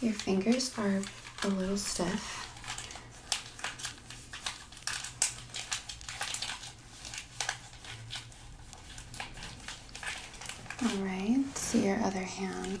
Your fingers are a little stiff. All right, see your other hand.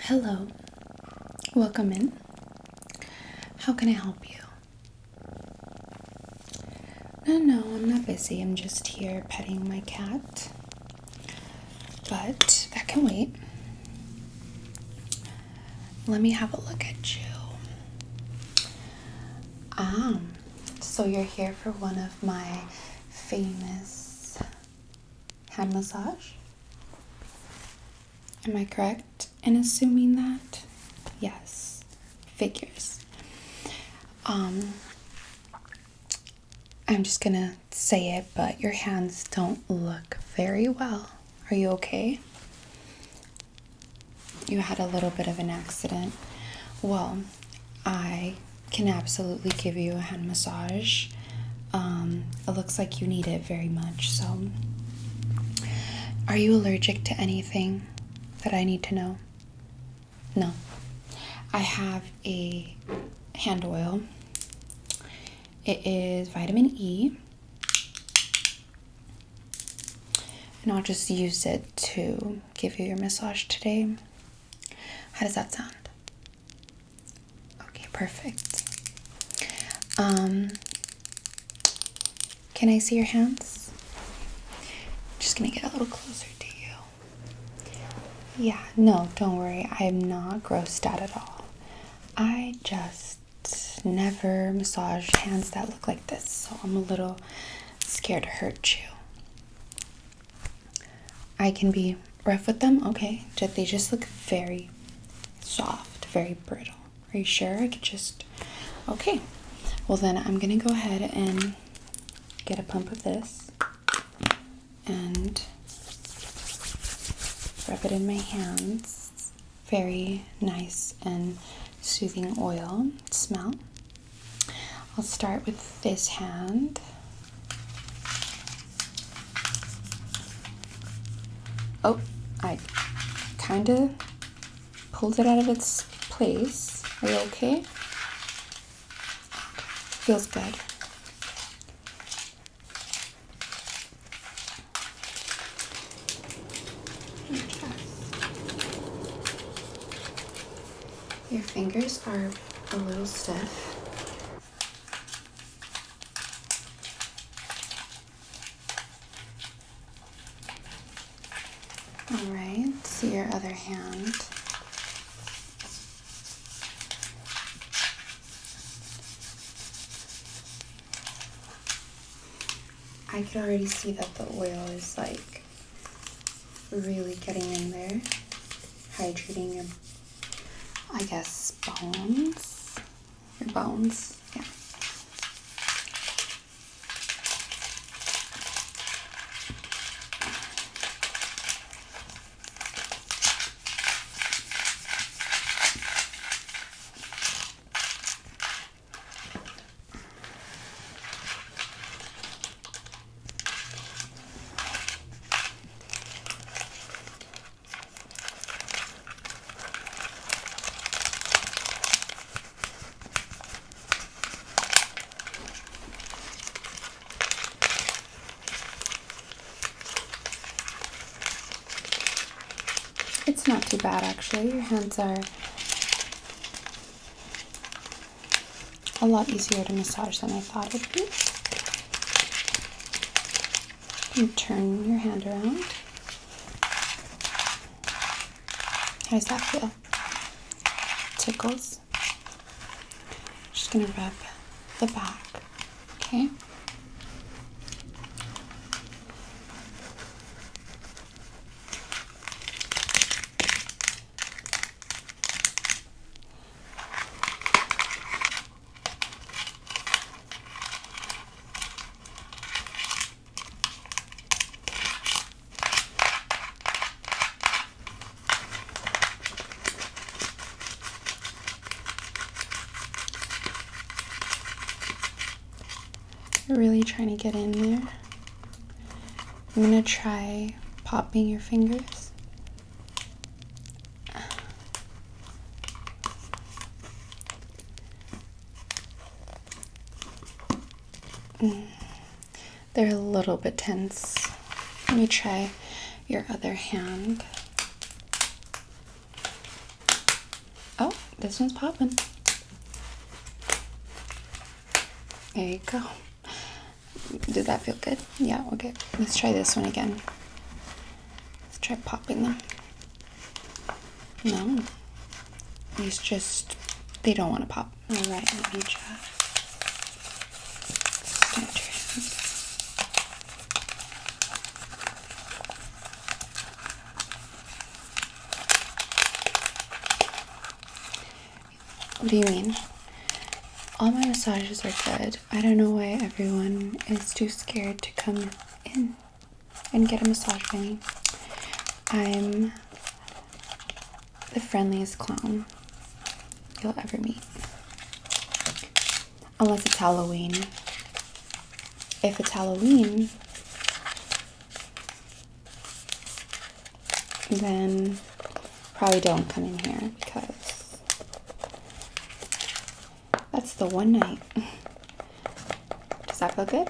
Hello, welcome in. How can I help you? No, no, I'm not busy. I'm just here petting my cat. But that can wait. Let me have a look at you. Um, so you're here for one of my famous hand massage. Am I correct in assuming that? Yes, figures. Um, I'm just gonna say it, but your hands don't look very well. Are you okay? You had a little bit of an accident. Well, I can absolutely give you a hand massage. Um, it looks like you need it very much. So, are you allergic to anything that I need to know? No. I have a hand oil. It is vitamin E. And I'll just use it to give you your massage today. How does that sound? Okay, perfect. Um, can I see your hands? just gonna get a little closer to you. Yeah, no, don't worry. I'm not grossed out at all. I just never massage hands that look like this, so I'm a little scared to hurt you. I can be rough with them. Okay, Did they just look very soft, very brittle. Are you sure? I could just. Okay, well then I'm gonna go ahead and get a pump of this and rub it in my hands. Very nice and soothing oil smell. I'll start with this hand. Oh, I kind of pulled it out of its place. Are you okay? okay? Feels good. Your fingers are a little stiff. All right, see your other hand. I can already see that the oil is like really getting in there hydrating your, I guess, bones. Your bones, yeah. It's not too bad actually. Your hands are a lot easier to massage than I thought it would be. turn your hand around. How that feel? Tickles. just gonna rub the back, okay? really trying to get in there. I'm going to try popping your fingers Mm. They're a little bit tense. Let me try your other hand. Oh, this one's popping. There you go. Did that feel good? Yeah, okay. Let's try this one again. Let's try popping them. No. These just, they don't want to pop. All right, let me try. What do you mean? All my massages are good. I don't know why everyone is too scared to come in and get a massage from me. I'm the friendliest clown you'll ever meet. Unless it's Halloween. If it's Halloween, then probably don't come in here because that's the one night. Does that feel good?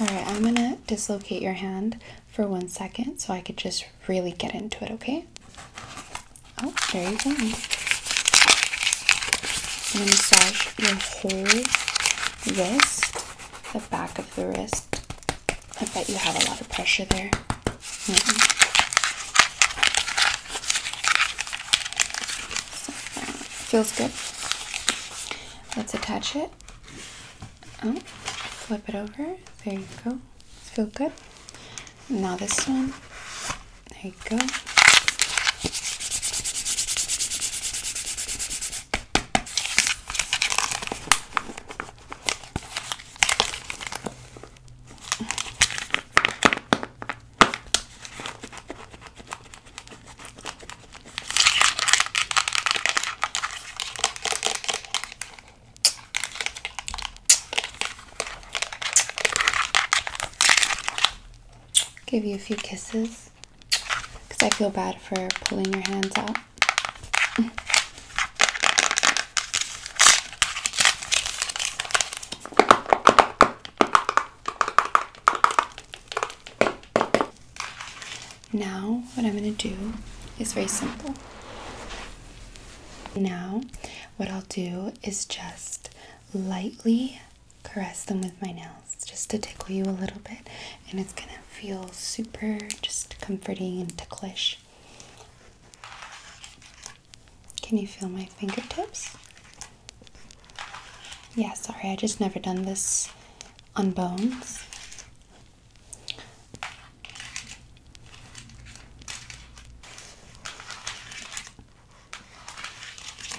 Alright, I'm gonna dislocate your hand for one second so I could just really get into it, okay? Oh, there you go. massage your whole wrist the back of the wrist. I bet you have a lot of pressure there. Mm-hmm. feels good. Let's attach it. Oh, flip it over. There you go. Feel good. Now this one. There you go. Give you a few kisses because I feel bad for pulling your hands out. Now, what I'm going to do is very simple. Now, what I'll do is just lightly caress them with my nails just to tickle you a little bit, and it's gonna feel super just comforting and ticklish. Can you feel my fingertips? Yeah, sorry, I just never done this on bones.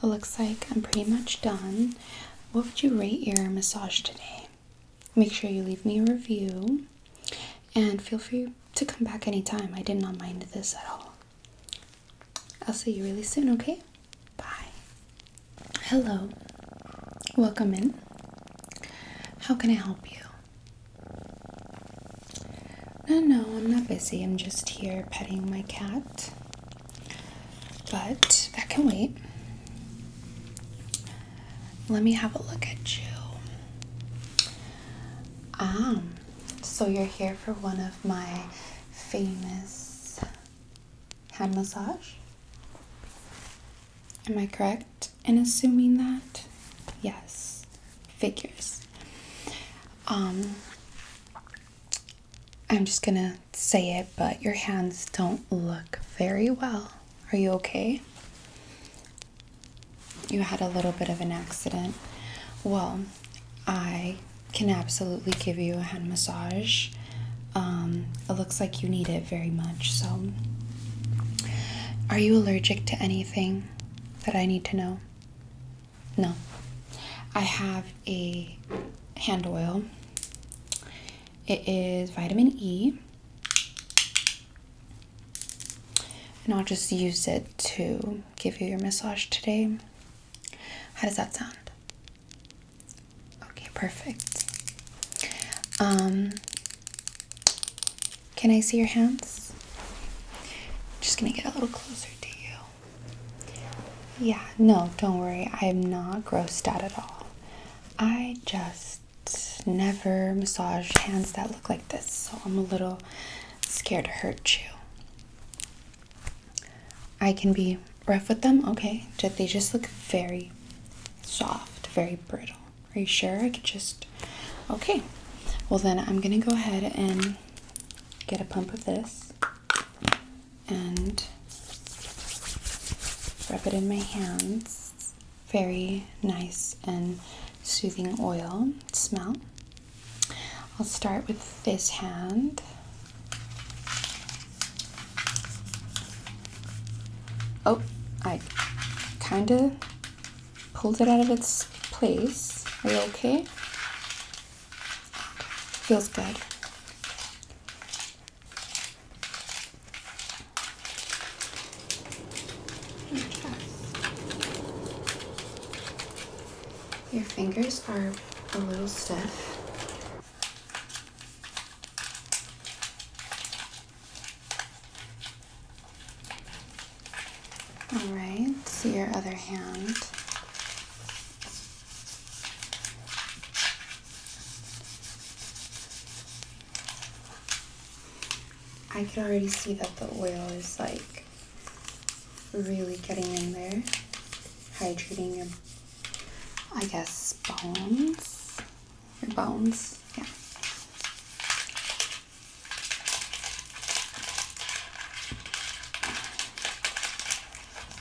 it looks like I'm pretty much done. What would you rate your massage today? Make sure you leave me a review and feel free to come back anytime. I did not mind this at all. I'll see you really soon, okay? Bye. Hello. Welcome in. How can I help you? No, no, I'm not busy. I'm just here petting my cat. But that can wait. Let me have a look at you. Um, so you're here for one of my famous hand massage? Am I correct in assuming that? Yes, figures. Um, I'm just gonna say it, but your hands don't look very well. Are you okay? You had a little bit of an accident. Well, I can absolutely give you a hand massage. Um, it looks like you need it very much, so. Are you allergic to anything that I need to know? No. I have a hand oil it is vitamin E. And I'll just use it to give you your massage today. How does that sound? Okay, perfect. Um, can I see your hands? just gonna get a little closer to you. Yeah, no, don't worry. I'm not grossed out at all. I just never massage hands that look like this, so I'm a little scared to hurt you. I can be rough with them, okay? Did They just look very soft, very brittle. Are you sure? I could just. Okay. Well, then I'm gonna go ahead and get a pump of this and rub it in my hands. very nice and soothing oil smell. I'll start with this hand. Oh, I kind of pulled it out of its place. Are you okay? Feels good your Your fingers are a little stiff. All right, see your other hand. I can already see that the oil is like really getting in there, hydrating your, I guess, bones. Your bones, yeah.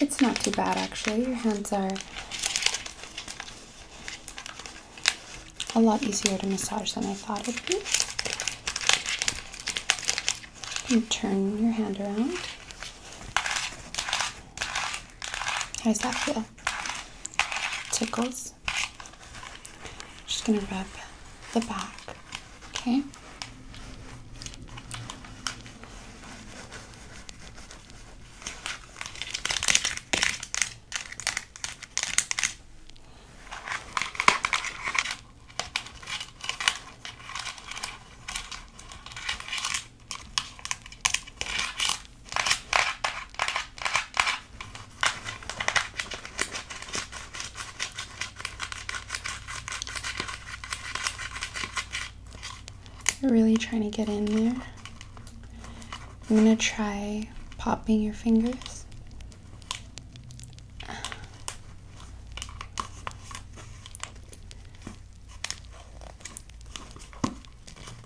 It's not too bad actually. Your hands are a lot easier to massage than I thought it would be. You turn your hand around. How that feel? Tickles this. Just gonna rub the back, okay? Really trying to get in there. I'm going to try popping your fingers.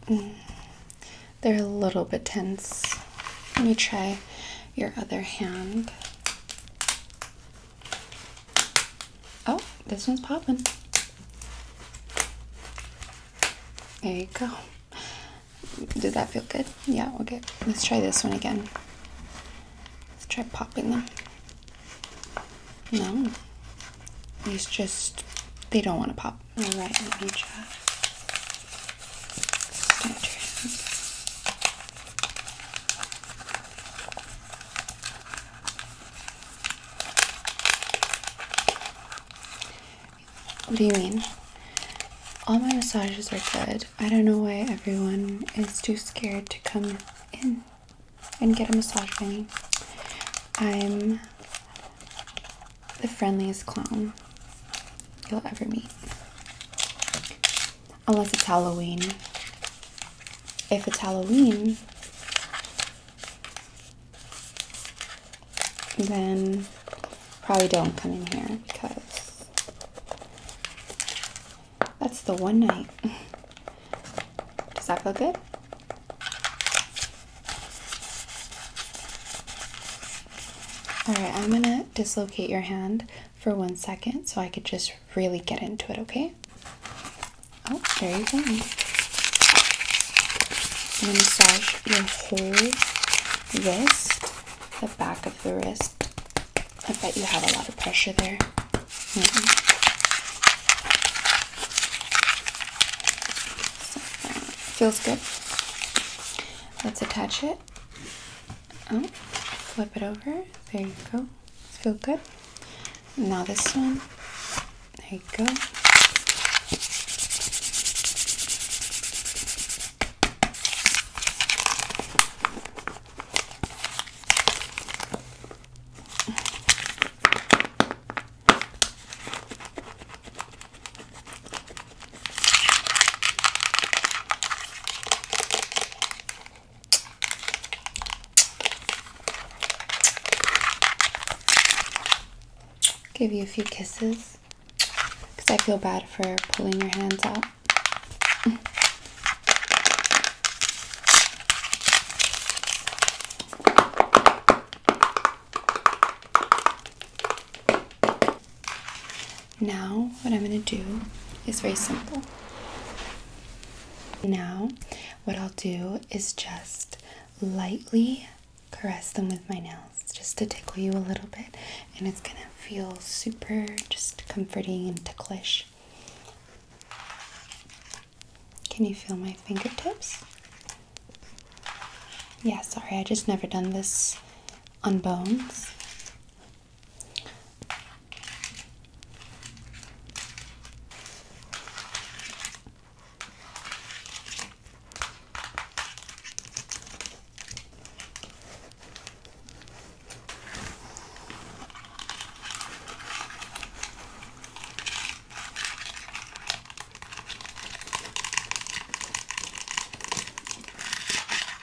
Mm. They're a little bit tense. Let me try your other hand. Oh, this one's popping. There you go. Did that feel good? Yeah, okay. Let's try this one again. Let's try popping them. No. it's just, they don't want to pop. What do you mean? All my massages are good. I don't know why everyone is too scared to come in and get a massage by me. I'm the friendliest clown you'll ever meet. Unless it's Halloween. If it's Halloween, then probably don't come in here because that's the one night. Does that feel good? All right, I'm gonna dislocate your hand for one second so I could just really get into it, okay? Oh, there you go. I'm gonna massage your whole wrist, the back of the wrist. I bet you have a lot of pressure there. Mm-hmm. feels good. Let's attach it. Oh, flip it over. There you go. Feel good. Now this one. There you go. Give you a few kisses because I feel bad for pulling your hands out. Now, what I'm going to do is very simple. Now, what I'll do is just lightly caress them with my nails just to tickle you a little bit, and it's going to feel super just comforting and ticklish. Can you feel my fingertips? Yeah, sorry, I just never done this on bones.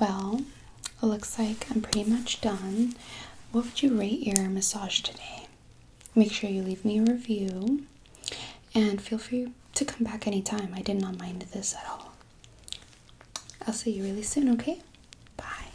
Well, it looks like I'm pretty much done. What would you rate your massage today? Make sure you leave me a review and feel free to come back anytime. I did not mind this at all. I'll see you really soon, okay? Bye.